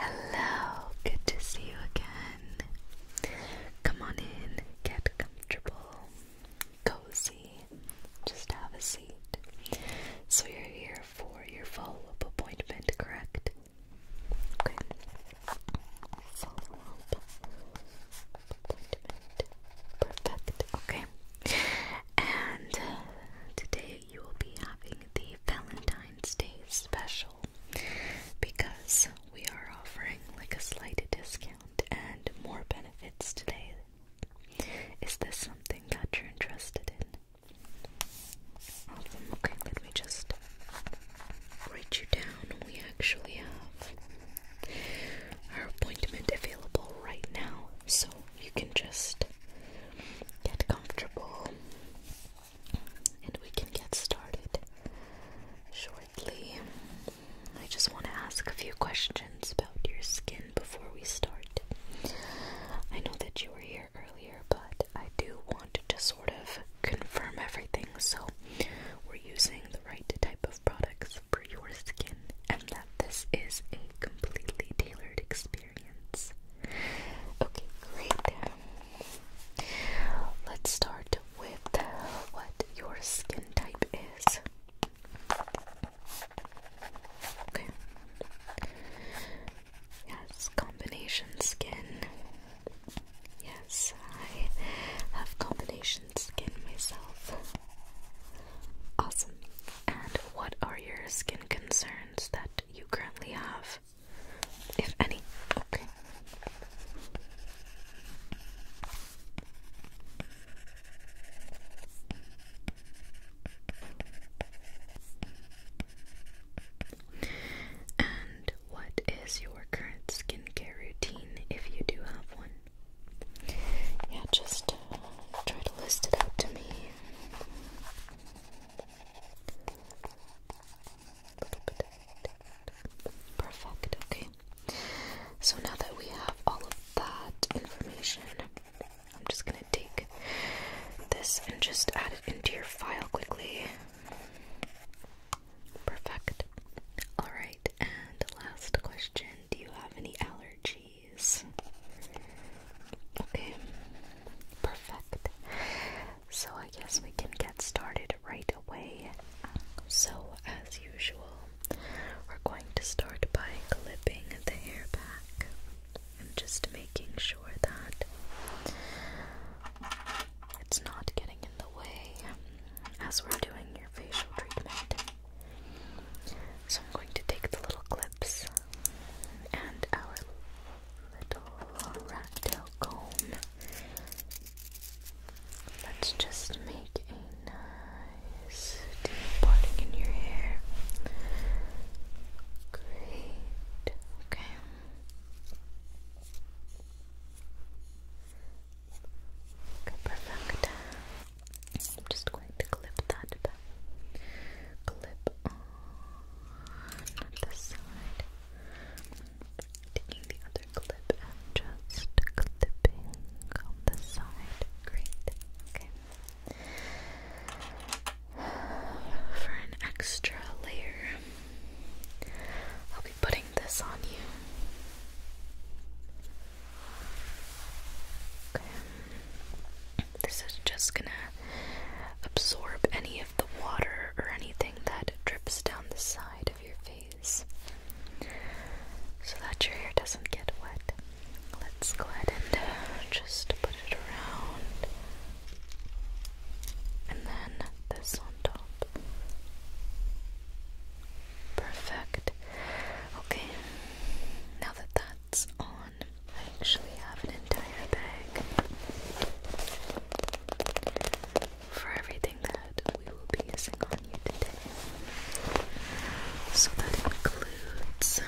Hello, good to see you again. Come on in, get comfortable, cozy, just have a seat. So, you're here for your follow up appointment, correct? Perfect. Okay. And uh, today you will be having the Valentine's Day special because we are offering like a slight discount and more benefits today. Is this something that you're interested in? Okay, let me just write you down. We actually have our appointment available right now, so you can just get comfortable and we can get started shortly. I just want to ask a few questions about your skin before we start. I know that you were here earlier, but I do want to sort of confirm everything. So we're using the right type of products for your skin, and that this is a completely tailored experience. Okay, great. Let's start with what your skin type is. Okay. Yes, combination skin. Yes, I have combination skin myself. Awesome. And what are your skin concerns that you currently have? If any. Okay. And what is your current skincare routine if you do have one? Yeah, just uh, try to list it out to me. Perfect, okay. So now that we have all of that information, I'm just gonna take this and just add it into your file quickly. Perfect. Alright, and last question Do you have any allergies? Okay, perfect. So I guess we can get started right away. So, as usual, we're going to start by clipping the hair back and just making sure that it's not getting in the way as we're doing your facial treatment. So I'm going to take the little clips and our little rat tail comb. Let's just make a nice deep parting in your hair. Great. Okay perfect. I'm just going to clip that back. Clip on the side. Taking the other clip and just clipping on the side. Great. Okay. For an extra layer, I'll be putting this on you. Okay. This is just gonna absorb any of the water or anything that drips down the side of your face so that your hair doesn't get wet. Let's go ahead and uh, just put it around and then this on top. Perfect. Okay, now that that's on, I actually have an entire bag for everything that we will be using on you today. So that includes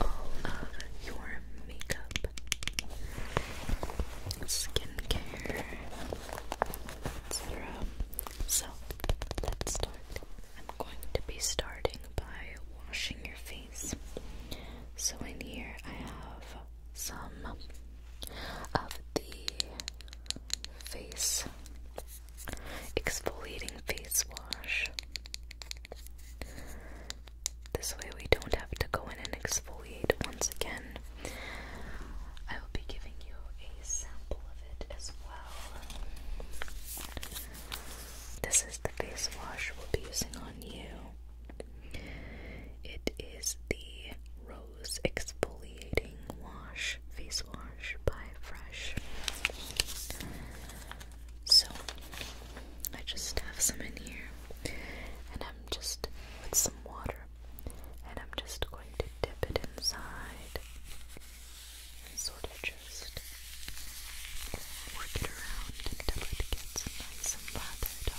all of your makeup, skincare, so let's start. I'm going to be starting by washing your face. So in here I have some of the face exfoliating face wash. This way we don't have to go in and exfoliate once again. I will be giving you a sample of it as well. This is the face wash we'll be using on you. It is the Rose Exfoliating Wash Face Wash by Fresh. So, I just have some in here, and I'm just with some water and I'm just going to dip it inside and sort of just work it around until it gets nice and lathered up.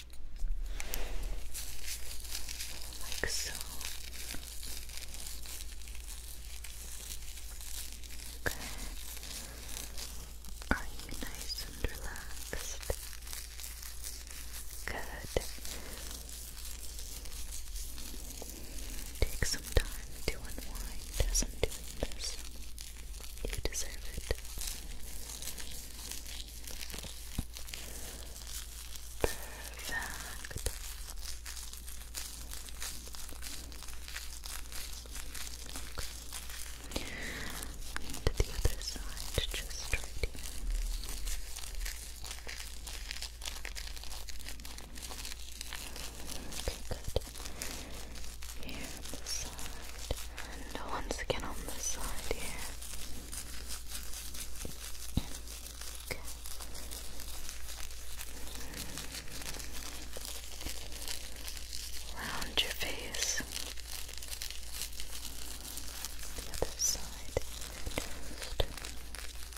like so. Okay. Are you nice and relaxed? Good. Take some time to unwind as I'm this. You deserve it. Perfect. Okay. the other side, just right here. Okay, good. Here on this side, and once again on this side here. Round your face. The other side.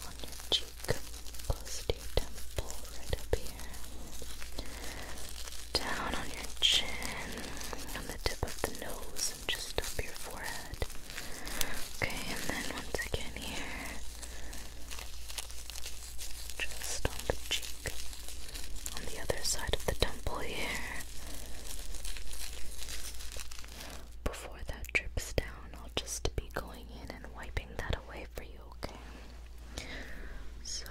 on your cheek. Close temple right up here. Down on your chin. On the tip of the nose just up your forehead. Okay, and then once again here, just on the cheek, on the other side of the temple here. Before that drips down, I'll just be going in and wiping that away for you, okay? So,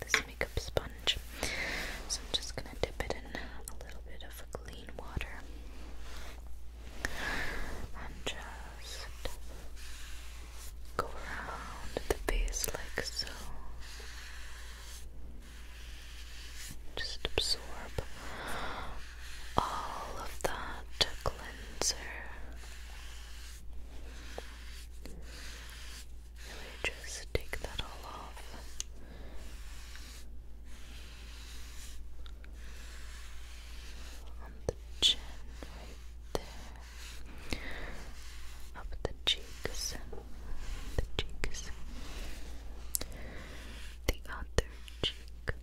this makeup sponge. So, I'm just gonna dip it in now a little bit of clean water and just go around the base like so. Just absorb all of that cleanser. Really just take that all off on the chin right there, up the cheeks, the cheeks, the other cheek,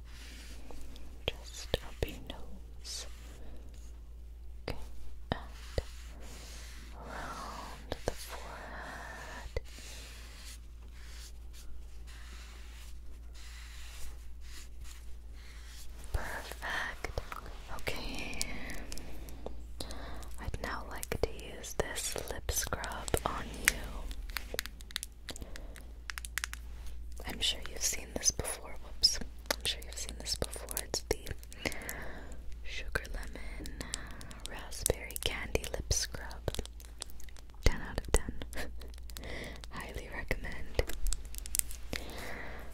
just up your nose, okay, and around the forehead. Perfect. Okay. I'd now like to use this lip scrub on you. I'm sure you've seen this before. Whoops. I'm sure you've seen this before. It's the Sugar Lemon Raspberry Candy Lip Scrub. 10 out of 10. Highly recommend.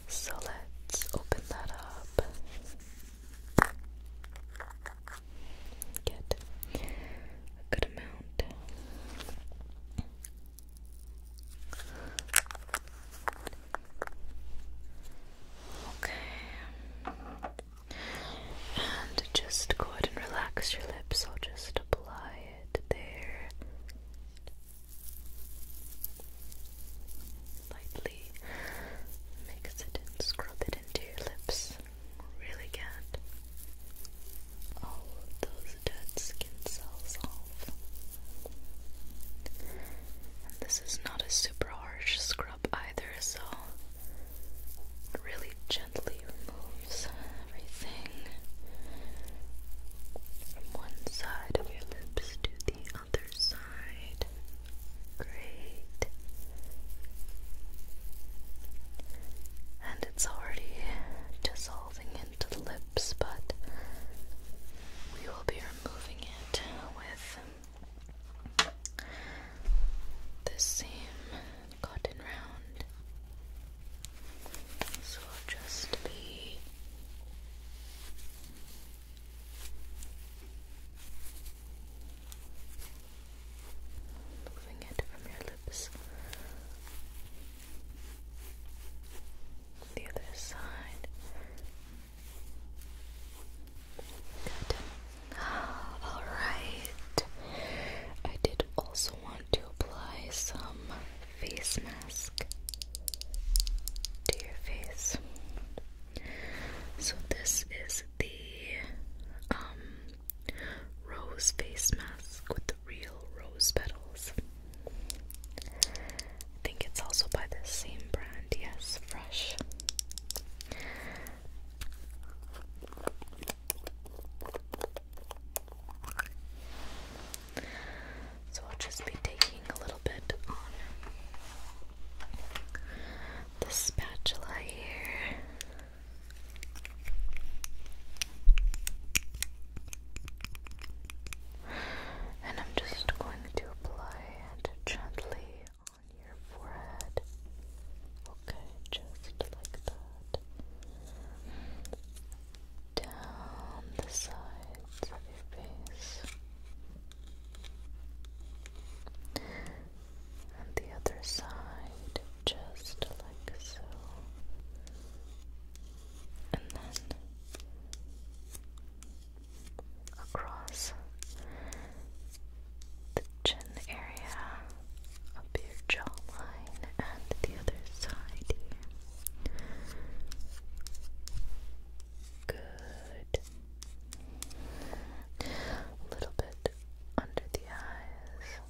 So let's open that up. Get a good amount. Okay. And just go ahead and relax your lips. I'll just apply it there. Lightly mix it and scrub it into your lips. Really get all of those dead skin cells off. And this is not a super harsh scrub scrub either, so really gently removes everything from one side of your lips to the other side. Great. And it's already dissolving into the lips, but we will be removing it with the same cotton round. So I'll just be moving it from your lips. The other side. Alright. I did also want to apply some face mask to your face. So this is the um, rose face mask with the real rose petals. I think it's also by the same brand, yes, fresh. So I'll just be taking a little bit on the spatula here. And I'm just going to apply it gently on your forehead. Okay, just like that. Down the sides of your face. And the other side, just like so. And then across the chin area, up your jawline, and the other side here. Good. A little bit under the eyes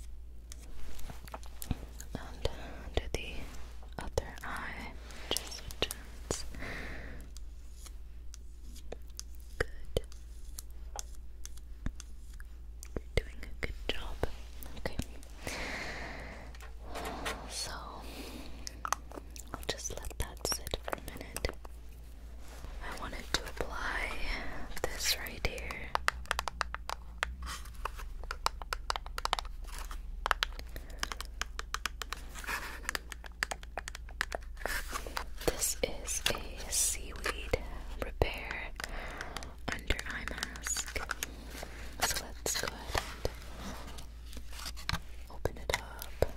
and under the other eye, just Good. You're doing a good job. Okay. So, I'll just let that sit for a minute. I wanted to apply this right here. This is a seaweed repair under eye mask. So let's go ahead and open it up.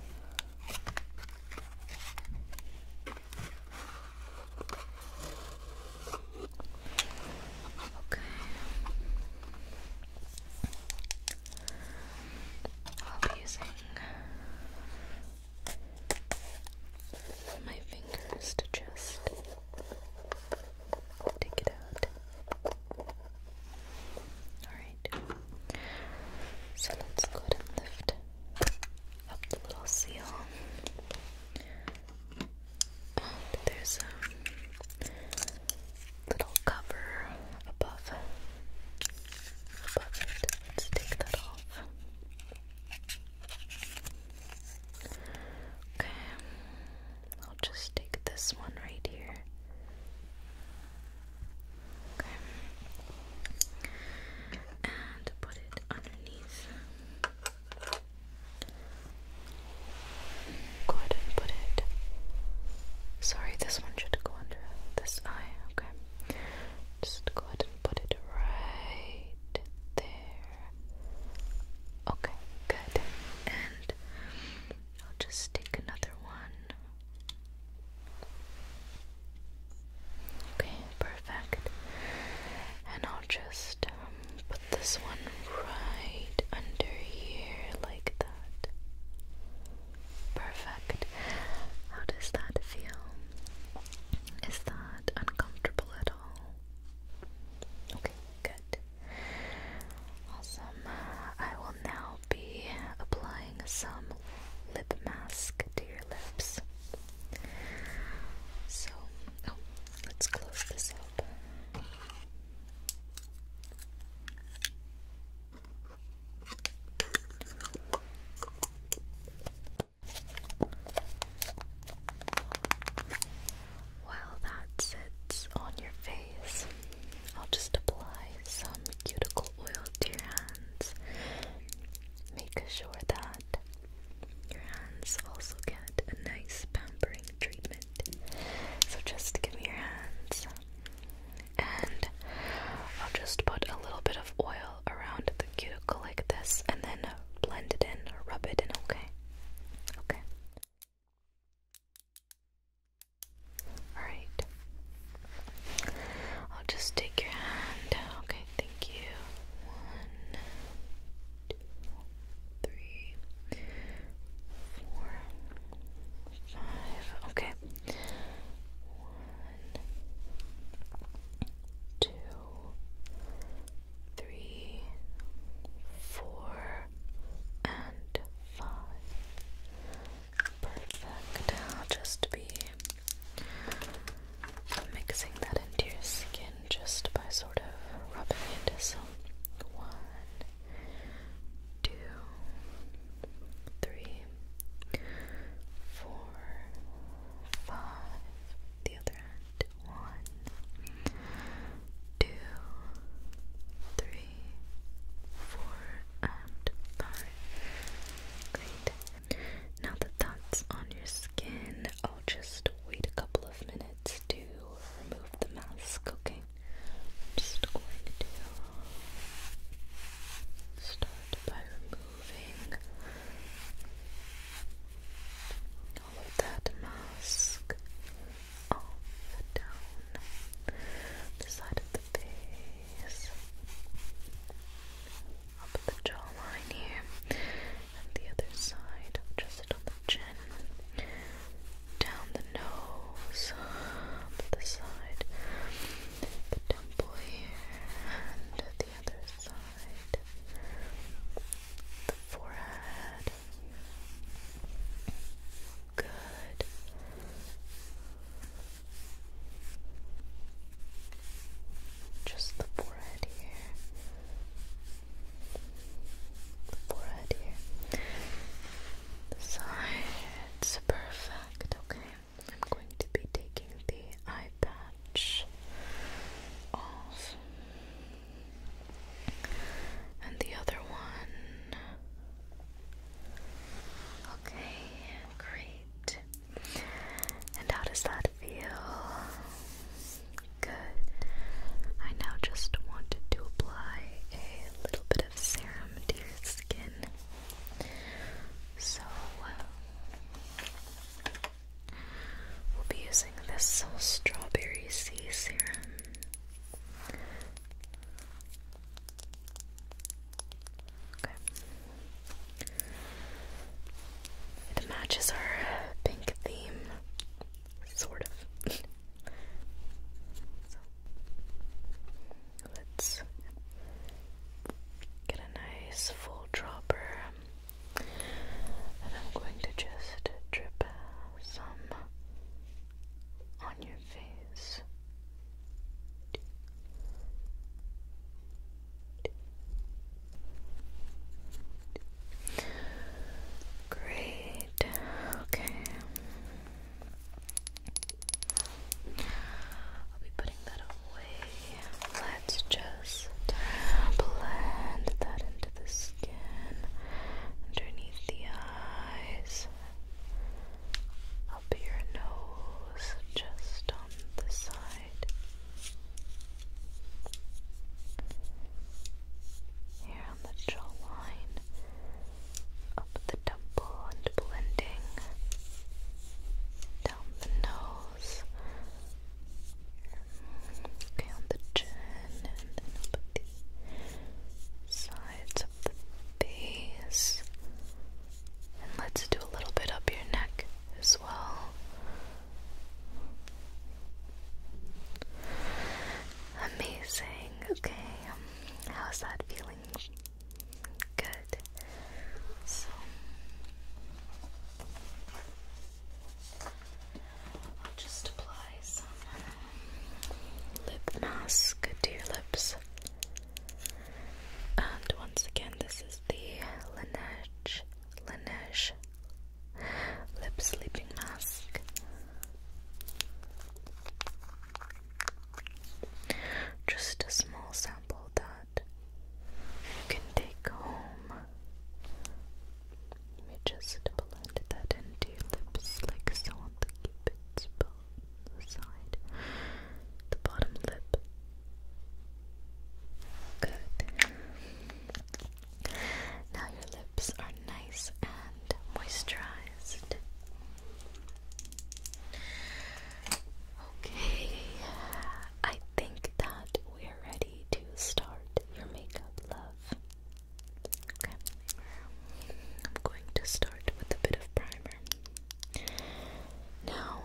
Okay. I'll be using my fingers to just take it out. Alright, so let's go ahead and lift up the little seal. And there's a little cover above, above it. Let's take that off. Okay, I'll just take this one right here. Okay, and put it underneath. Go ahead and put it. Sorry, this one should go under this eye. Okay, just go ahead and put it right there. Okay, good. And I'll just take another one. Okay, perfect. And I'll just um, put this one right under here, like that. Perfect. How does that feel? Is that uncomfortable at all? Okay, good. Awesome. I will now be applying some lip mask to your lips. So, oh, let's close this up. While that sits on your face, I'll just apply some cuticle oil to your hands. Make sure that your hands also get a nice pampering treatment. So just give me your hands, and I'll just put a little bit of oil around the cuticle like this and then blend it in rub it in, okay? Okay. Alright. I'll just take your hand. Okay, thank you. One, two, three, four, five. Okay two, three, four, and five. Perfect. I'll just be mixing that into your skin just by sort of rubbing it. some. one, two, three, four, five, the other hand, one, two, three, four, and five. Great. Now that that's on your skin, I'll just wait a couple of minutes to remove the mask, okay? I'm just going to start by removing removing all of that mask off and down the side of the face, up the jawline here, and the other side, just on the chin, down the nose, up the side, the temple here, and the other side, the forehead. Good. Just the forehead here. The forehead here. The sides. Perfect. Okay. I'm going to be taking the eye patch off and the other one. Okay, great. And how does that feel? Good. I now just wanted to apply a little bit of serum to your skin. So, uh, We'll be using this strawberry sea serum. It matches our pink theme, sort of. so, let's get a nice full dropper and I'm going to just drip some on your face. Great. Okay. I'll be putting that let's just blend that into the skin, underneath the eyes, up your nose, just on the side. Here on the jawline, up the temple and blending down the nose. Okay, on the chin and the sides of the face. And let's do a little bit up your neck as well. Amazing. Okay, um, how's that feeling? Good. So I'll just apply some um, lip mask to your lips. And once again, this is the Laneige Laneige Lip Sleeping Mask. Just a small sample that you can take home. Let me just blend that into your lips like so on the cupid's bow, the side, the bottom lip. Good. Now your lips are nice and moisturized. Okay, I think that we're ready to start your makeup, love. Okay, I'm going to start with a bit of primer. Now,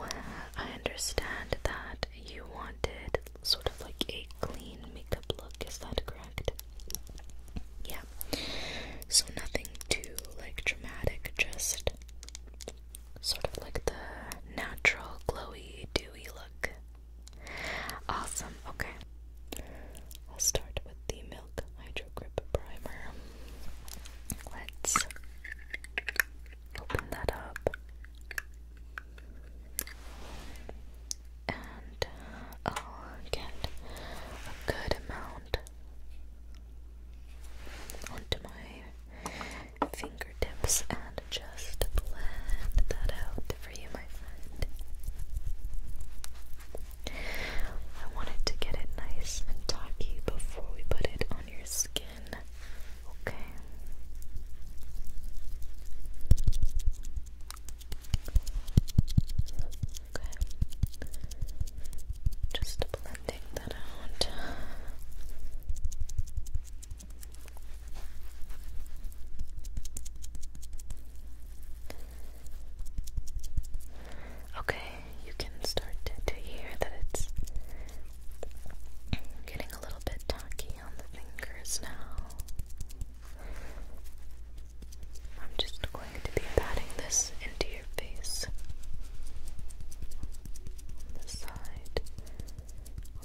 I understand that you wanted sort of like a clean makeup look, is that correct? Yeah. So nothing too like dramatic, just sort of like the natural glowy dewy look. Awesome. Okay. I'll start with the Milk Hydro Grip Primer. Let's open that up. And uh, oh, I'll get a good amount onto my fingertips and just blend that out for you, my friend. I wanted to get it nice and tacky before we put it on your skin. Okay. Okay. Just blending that out. Okay, you can start to, hear that it's getting a little bit tacky on the fingers now. I'm just going to be patting this into your face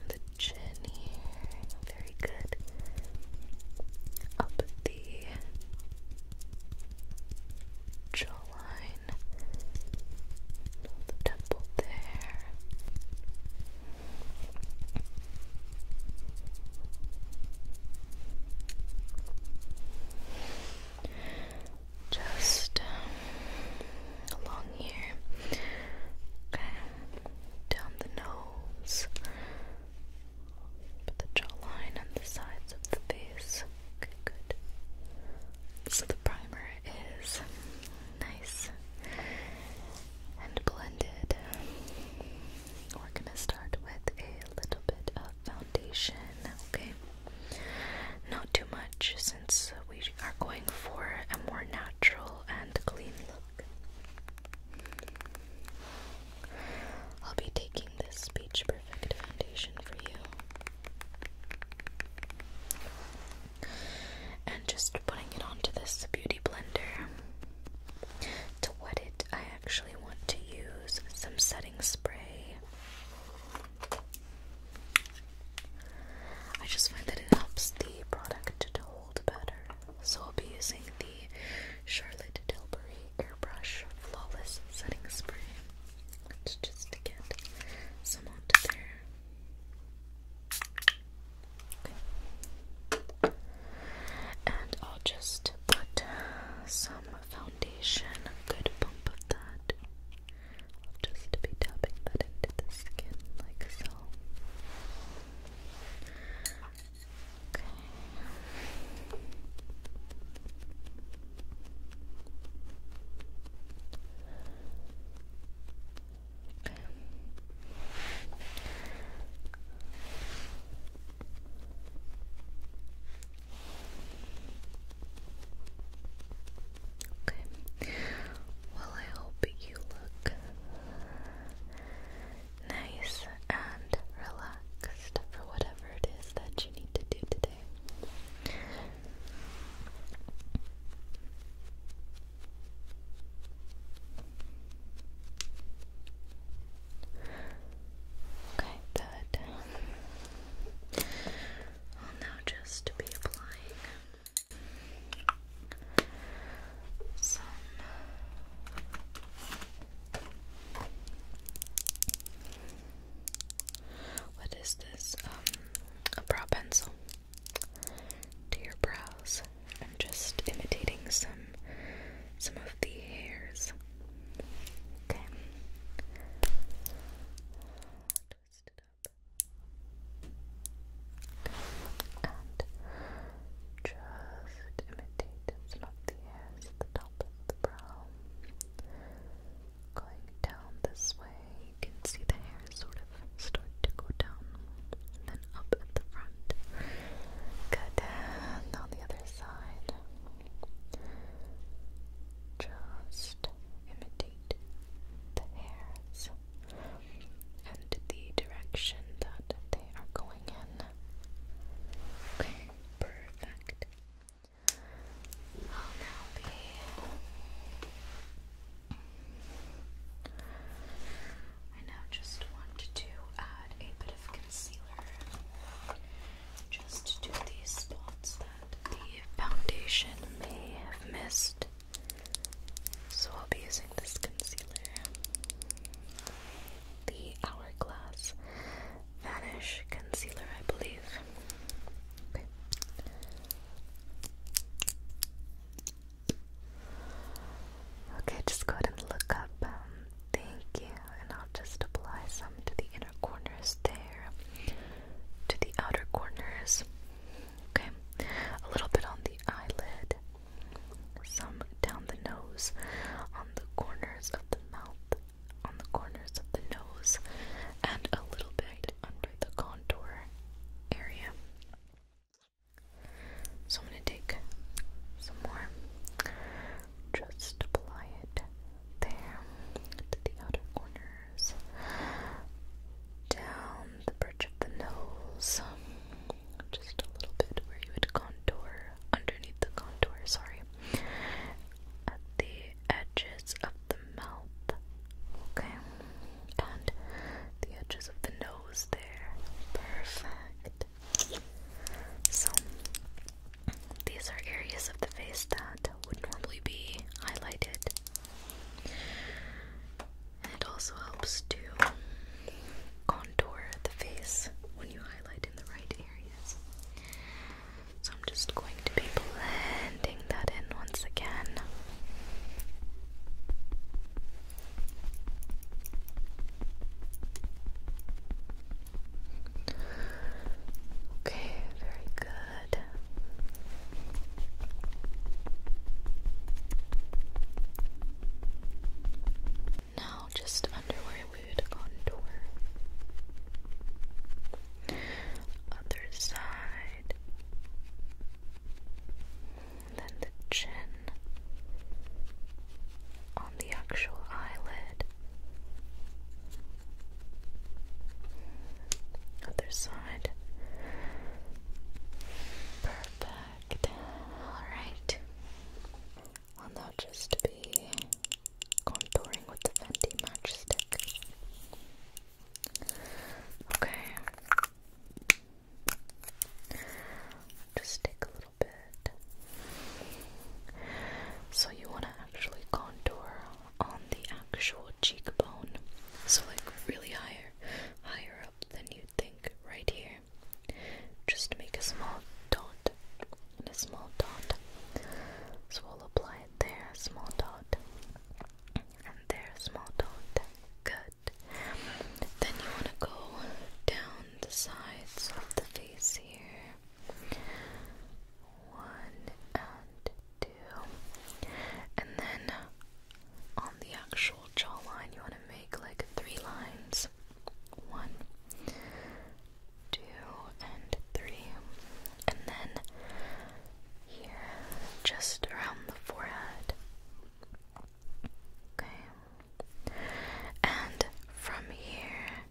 the chin Very good. Up the jawline, the temple there just um, along here. Okay, down the nose, put the jawline and the sides of the face. Okay, good. So the primer is nice and blended. We're gonna start with a little bit of foundation, okay? Not too much since we are going for a more natural and clean look. I'll be taking this Beach Perfect foundation for you and just putting it onto this beauty blender. To wet it, I actually want to use some setting spray. I just find that it helps the product to hold better. So I'll be using the Charlotte Tilbury Airbrush Flawless Setting Spray. Let's just get some onto there. And I'll just put some foundation, good bump of that I'll just be tapping that into the skin like so. Okay. Okay. Okay. Well, I hope you look nice and relaxed for whatever it is that you need to do today. Okay, good. I'll now just be applying what is this? Um, a brow pencil to your brows. I'm just imitating some some of the hairs. Okay. And just imitate and snub the hairs at the brow. Going down this way, you can see the hair sort of start to go down then up at the front. Good. And on the other side, just imitate and the hairs and the direction that they are going in. Okay, perfect. I'll now be. I now just want to add a bit of concealer just to these spots the foundation may have missed. So I'll be using this concealer. The Hourglass Vanish Concealer, I believe. Okay. just go ahead and look up. Um, thank you. And I'll just apply some to the inner corners there to the outer corners. Okay, a little bit on the eyelid, some down the nose, on the corners of the mouth, on the corners of the nose, and a little bit under the contour area. So I'm going to take some more, just apply it there to the outer corner down the bridge of the nose, just a little bit where you would contour, underneath the contour, sorry, at the edges of the mouth, okay, and the edges of the nose there, perfect. So, these are areas of the face that would normally be highlighted it also helps to contour the face when you highlight in the right areas. So I'm just going to be blending that in once again. Okay, very good. Good. just under where we would contour. Other side. Then the chin on the actual eyelid. Other side. Perfect. Alright. I'll now just be contouring with the Fenty matchstick. Okay. Just take a little bit. So you want to actually contour on the actual cheekbone. So like really higher, higher up than you'd think, right here. Just make a small dot and a small dot. So we'll apply it there, small dot, and there, small dot. Good. Then you want to go down the sides of the face here. One and and then on the actual jawline, you want to make like three lines one, two, and three. And then here, just around the forehead. Okay. And from here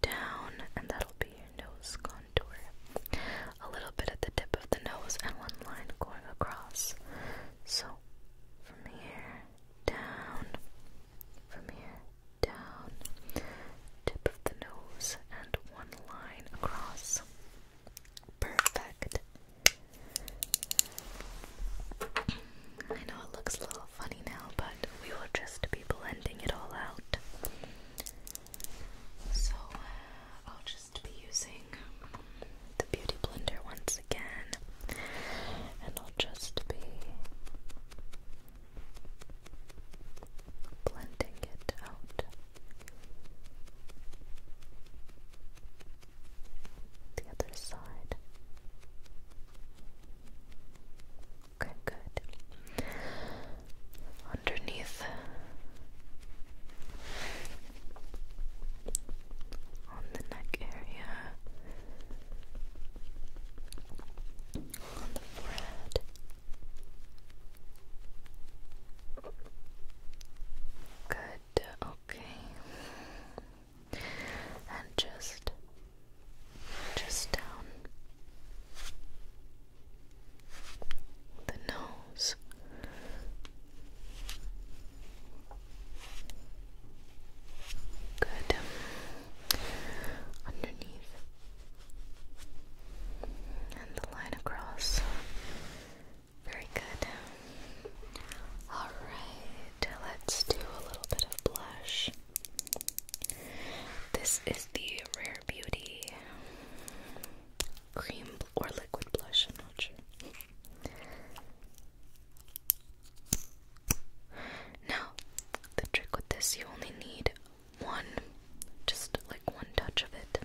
down, and that'll be your nose cone. A little bit at the tip of the nose and one line going across. So from here down, from here down, tip of the nose and one line across. Perfect. I know it looks a little funny now, but we will just be blending it all out. So uh, I'll just be using the Beauty Blender once again, and I'll just be blending it out. The other side. Okay, good underneath on the neck area, on the forehead. Good, okay. And just just down the nose. Good. Underneath. And the line across. Very good. Alright, let's do a little bit of blush. This is the Rare Beauty cream or liquid blush, I'm Now, the trick with this, you only need one, just like one touch of it.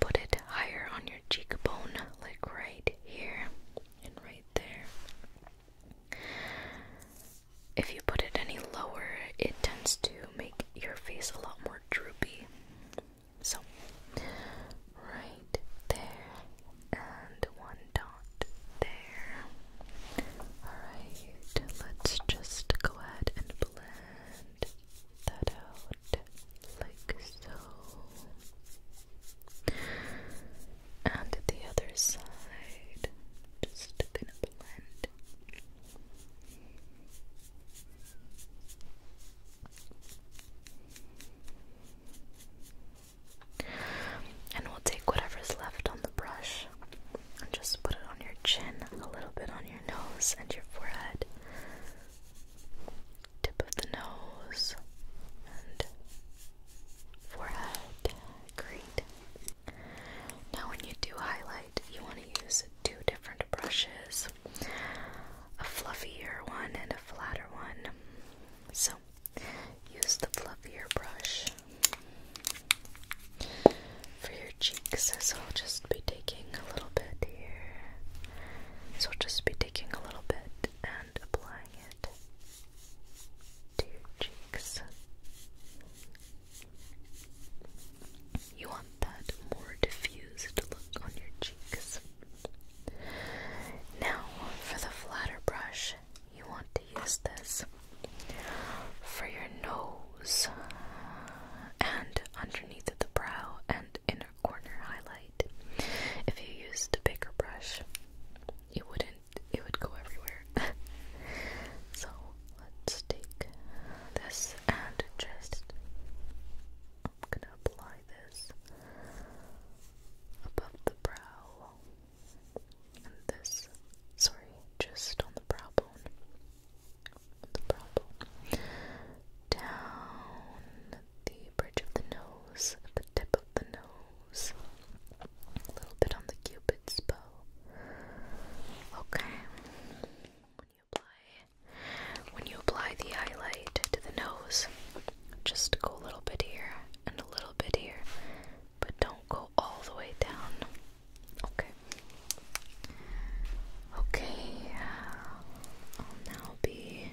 Put it higher on your cheekbone, like right here and right there. If you put it any lower, it tends to make your face a lot more droopy. So, right there, and one dot there. Alright, let's just go ahead and blend that out like so. And the other side, just blend. And we'll take whatever's left on the brush and just put it on your chin, a little bit on your nose and your forehead, tip of the nose and forehead. Great. Now, when you do highlight, you want to use two different brushes a fluffier one and a flatter one. So use the fluffier brush for your cheeks. So I'll just be taking a little bit here. So I'll just be taking a little bit and applying it to your cheeks. You want that more diffused look on your cheeks. Now, for the flatter brush, you want to use this for your nose and underneath the brow and inner corner highlight. If you used a bigger brush, it wouldn't, it would go everywhere. so Let's take this and just I'm gonna apply this above the brow and this sorry, just on the brow bone. The brow bone. Down the bridge of the nose, the tip of the nose. A little bit on the cupid's bow. Okay when you apply the highlight to the nose, just go a little bit here and a little bit here, but don't go all the way down. Okay. Okay. I'll now be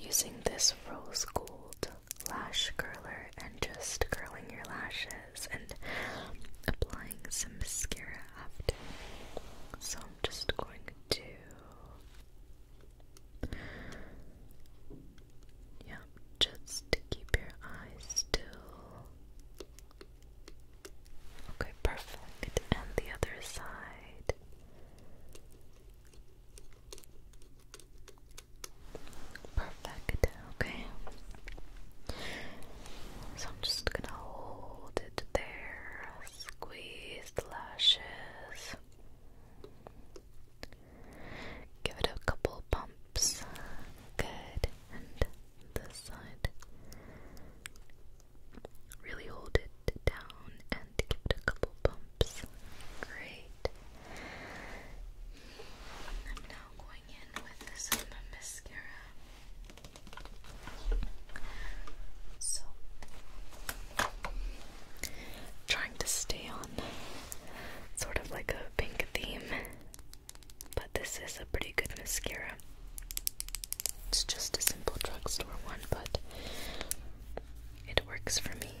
using this rose gold lash curler and just curling your lashes and applying some mascara after. So I'm just going to. Yeah, just to keep your eyes still. Okay, perfect. And the other side. Perfect. Okay. So I'm just gonna hold it there, squeeze the lashes, give it a couple pumps. Good, and this side. Really hold it down and give it a couple bumps. Great. I'm now in with some mascara. So, trying to stay on sort of like a pink theme, but this is a pretty good mascara. It's just a simple drugstore one, but it works for me.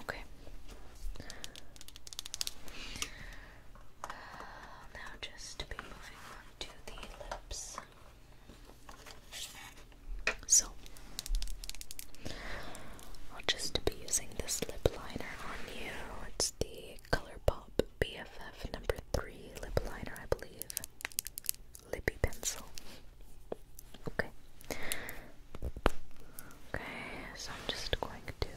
Okay. Uh, now just be moving on to the lips. So, I'll just be using this lip liner on you. It's the ColourPop BFF number 3 lip liner, I believe. Lippy pencil. Okay. Okay, so I'm just going to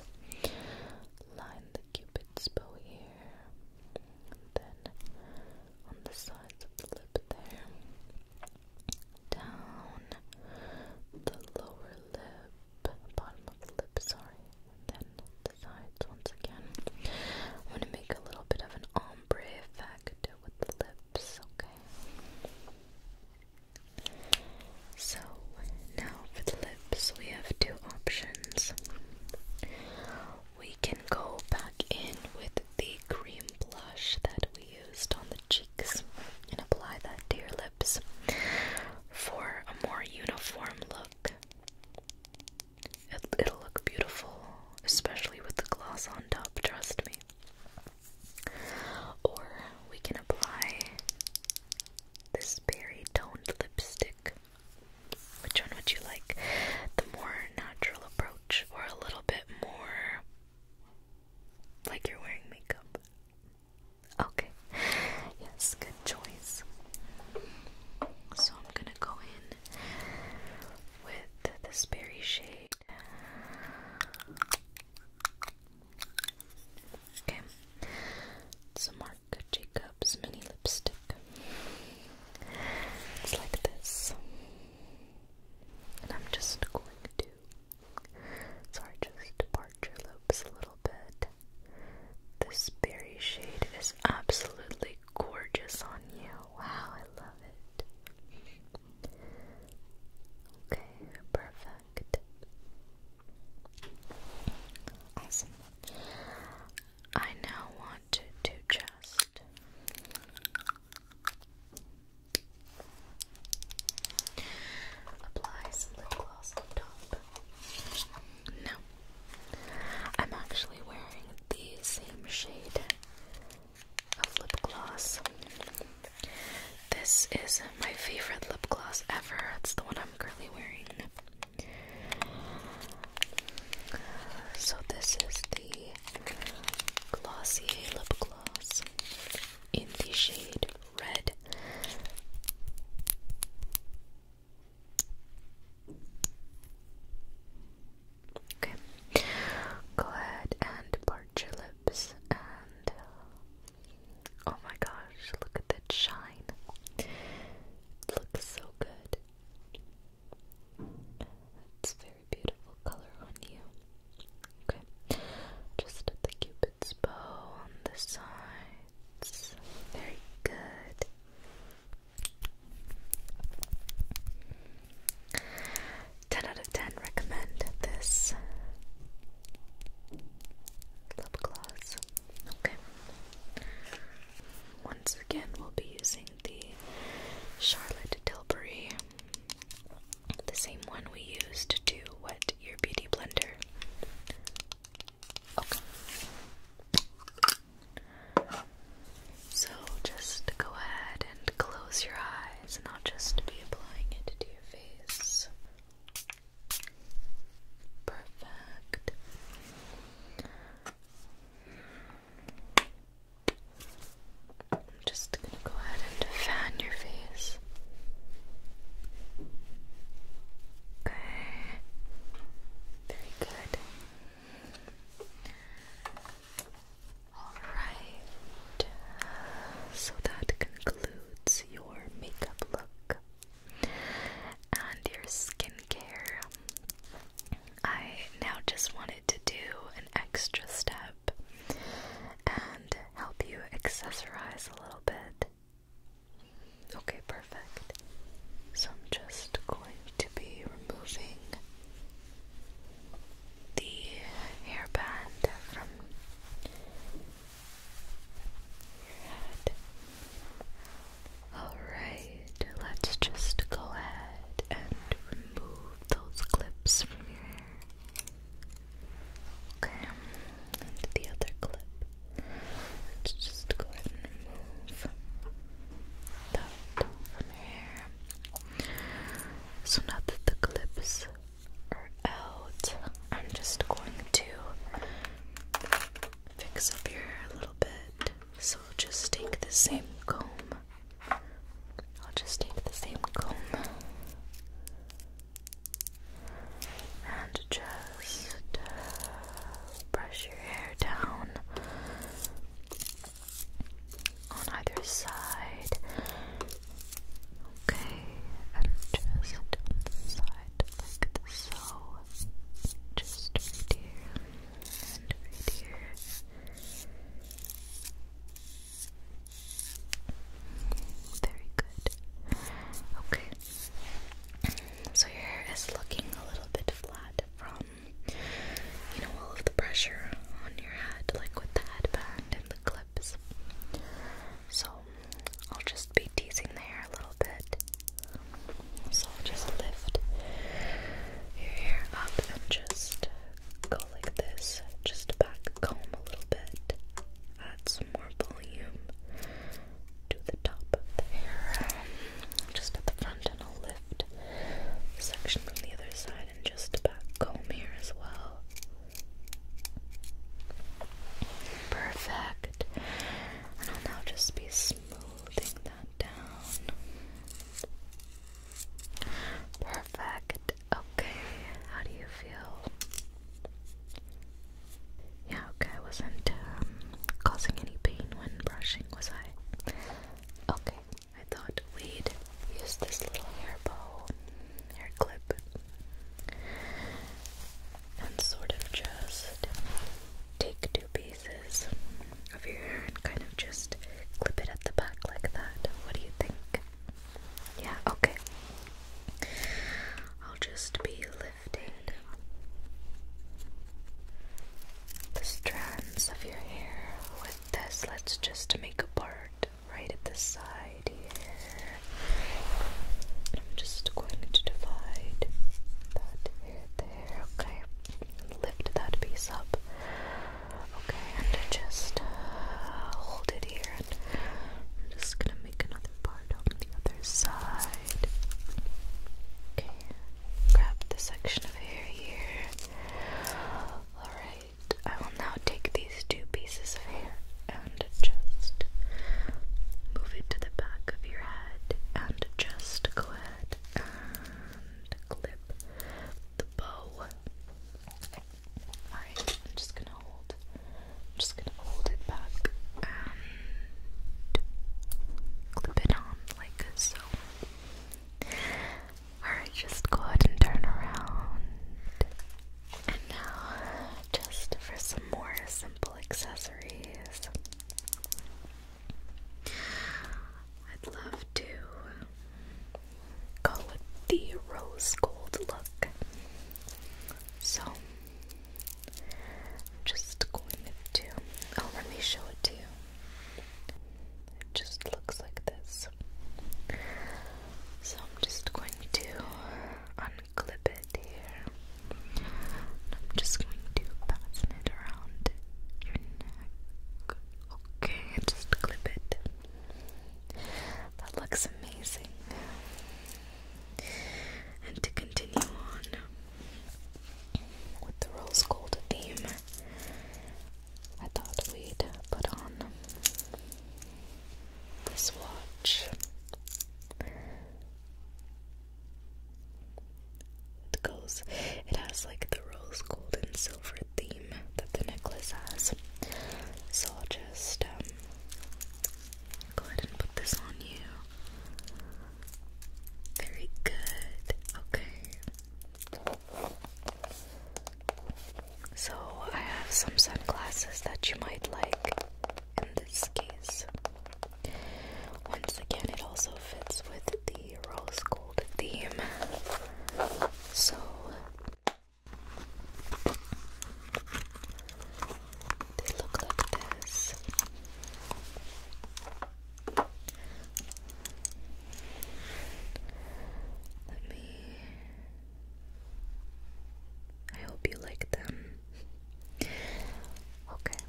line the cupid's bow here, then on the sides of the lip there, down the lower lip, bottom of the lip, sorry, then the sides once again. I'm going to make a little bit of an ombre effect with the lips, okay? So now for the lips, we have two options. We can go back in with the cream blush that we used on the cheeks and apply that to your lips for a more uniform look. It, it'll look beautiful, especially with the gloss on top, trust me. Or we can apply this berry toned lipstick. Which one would you like? The more natural approach or a little bit more like you're wearing makeup? Okay. Yes, good choice. So I'm going to go in with this berry shade. Okay. It's Marc Jacobs mini lipstick. It's like this. And I'm just going to. Sorry, just part your lips a little bit. This berry shade is absolutely gorgeous on you. Wow, I love it. Okay, perfect. Awesome. I now want to just apply some lip gloss on top. Now, I'm actually wearing the same shade of lip gloss this is my favorite lip gloss ever. It's the one I'm currently wearing. So, this is the Glossier lip gloss in the shade Red. Okay, go ahead and part your lips and oh my gosh, look at that shine. looks so good. It's very beautiful color on you. Okay. Just the cupid's bow on the sides. Very good. 10 out of 10 recommend this lip gloss. Okay. Once again, we'll be using the Charlotte Tilbury, the same one we used to wet your beauty blender. Okay. So just go ahead and close your eyes, and I'll just be applying it to your face. Perfect. I'm just gonna go ahead and fan your face. Okay. Very good. Alright. So that concludes your makeup look and your skincare. I now just wanted to do an extra step and help you accessorize a little bit. Okay, perfect. So I'm just going to be removing the hairband from your head. Alright, let's just go ahead and remove those clips from your hair. Okay, and the other clip. Let's just go ahead and remove that from your hair. So now that the clip out. I'm just going to fix up your hair a little bit. So I'll just take the same comb. I'll just take the same comb and just uh, brush your hair down on either side Okay, and just side, like so. Just right here and right here. Very good. Okay. So your hair is looking a little bit flat from you know all of the pressure on your head, like with the headband and the clip. So I'll just be teasing the hair a little bit. So I'll just lift your hair up and just go like this. Just back comb a little bit. Add some more volume to the top of the Just at the front and I'll lift the section from the other side and just back comb here as well. Perfect. I'll now just be smoothing that down. Perfect. Okay, how do you feel? Yeah, okay, I wasn't um, causing any pain when brushing, was I? Okay, I thought we'd use this little hair bow, hair clip, and sort of just take two pieces of your hair and kind of just clip it at the back like that. What do you think? Yeah, okay. I'll just be lifting the strands of your hair with this. Let's just make a part right at the side here. I'm just going to divide that hair there, okay? Lift that piece up, okay? And just uh, hold it here. I'm just gonna make another part on the other side. Okay, grab the section of hair here. Alright, I will now take these two pieces of hair and just move it to the back of your head and just go ahead and clip the bow. Alright, I'm just gonna hold just gonna hold it back and clip it on like so. Alright, just go ahead and turn around. And now, just for some more simple accessories, I'd love to go with the rose gold look. So, I'm just going to. Oh, let me show it to you. It just looks like this. So I'm just going to unclip it here. I'm just going to fasten it around your neck. Okay, just clip it. That looks amazing. And to continue on with the rose gold theme, I thought we'd put on this watch. It goes, it has like the rose gold and silver theme that the necklace has. So I'll just um, go ahead and put this on you. Very good. Okay. So I have some sunglasses that you might like in this case. Once again, it also fits with the rose gold theme. So they look like this. Let me I hope you like them. Okay.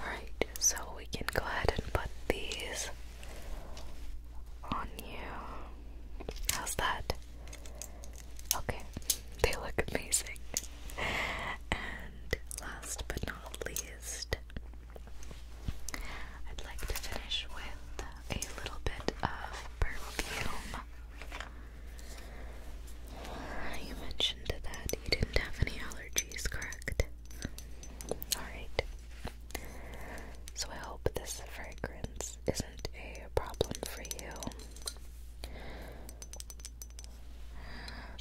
Alright, so we can go ahead and put these on you. How's that? Okay, they look amazing. And last but not least, I'd like to finish with a little bit of perfume. You mentioned that you didn't have any allergies, correct? Alright. So I hope this fragrance isn't a problem for you.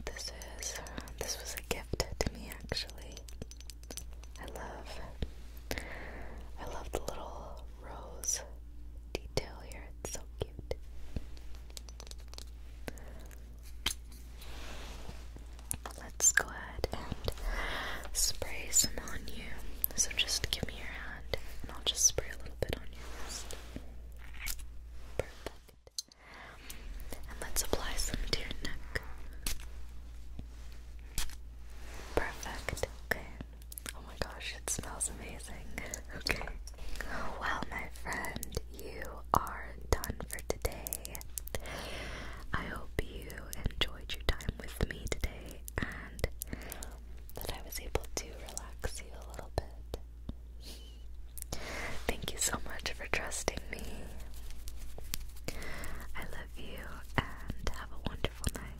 This is this was a gift to me actually. I love I love the little rose detail here. It's so cute. Let's go ahead and spray some on you. So just give me your hand and I'll just spray a little bit on your wrist. Perfect. And let's apply some to your neck. Perfect. Okay. Oh my gosh, it smells amazing. Okay. Well, my friend, you are done for today. I hope you enjoyed your time with me today and that I was able to relax you a little bit. Thank you so much for trusting me. I love you and have a wonderful night.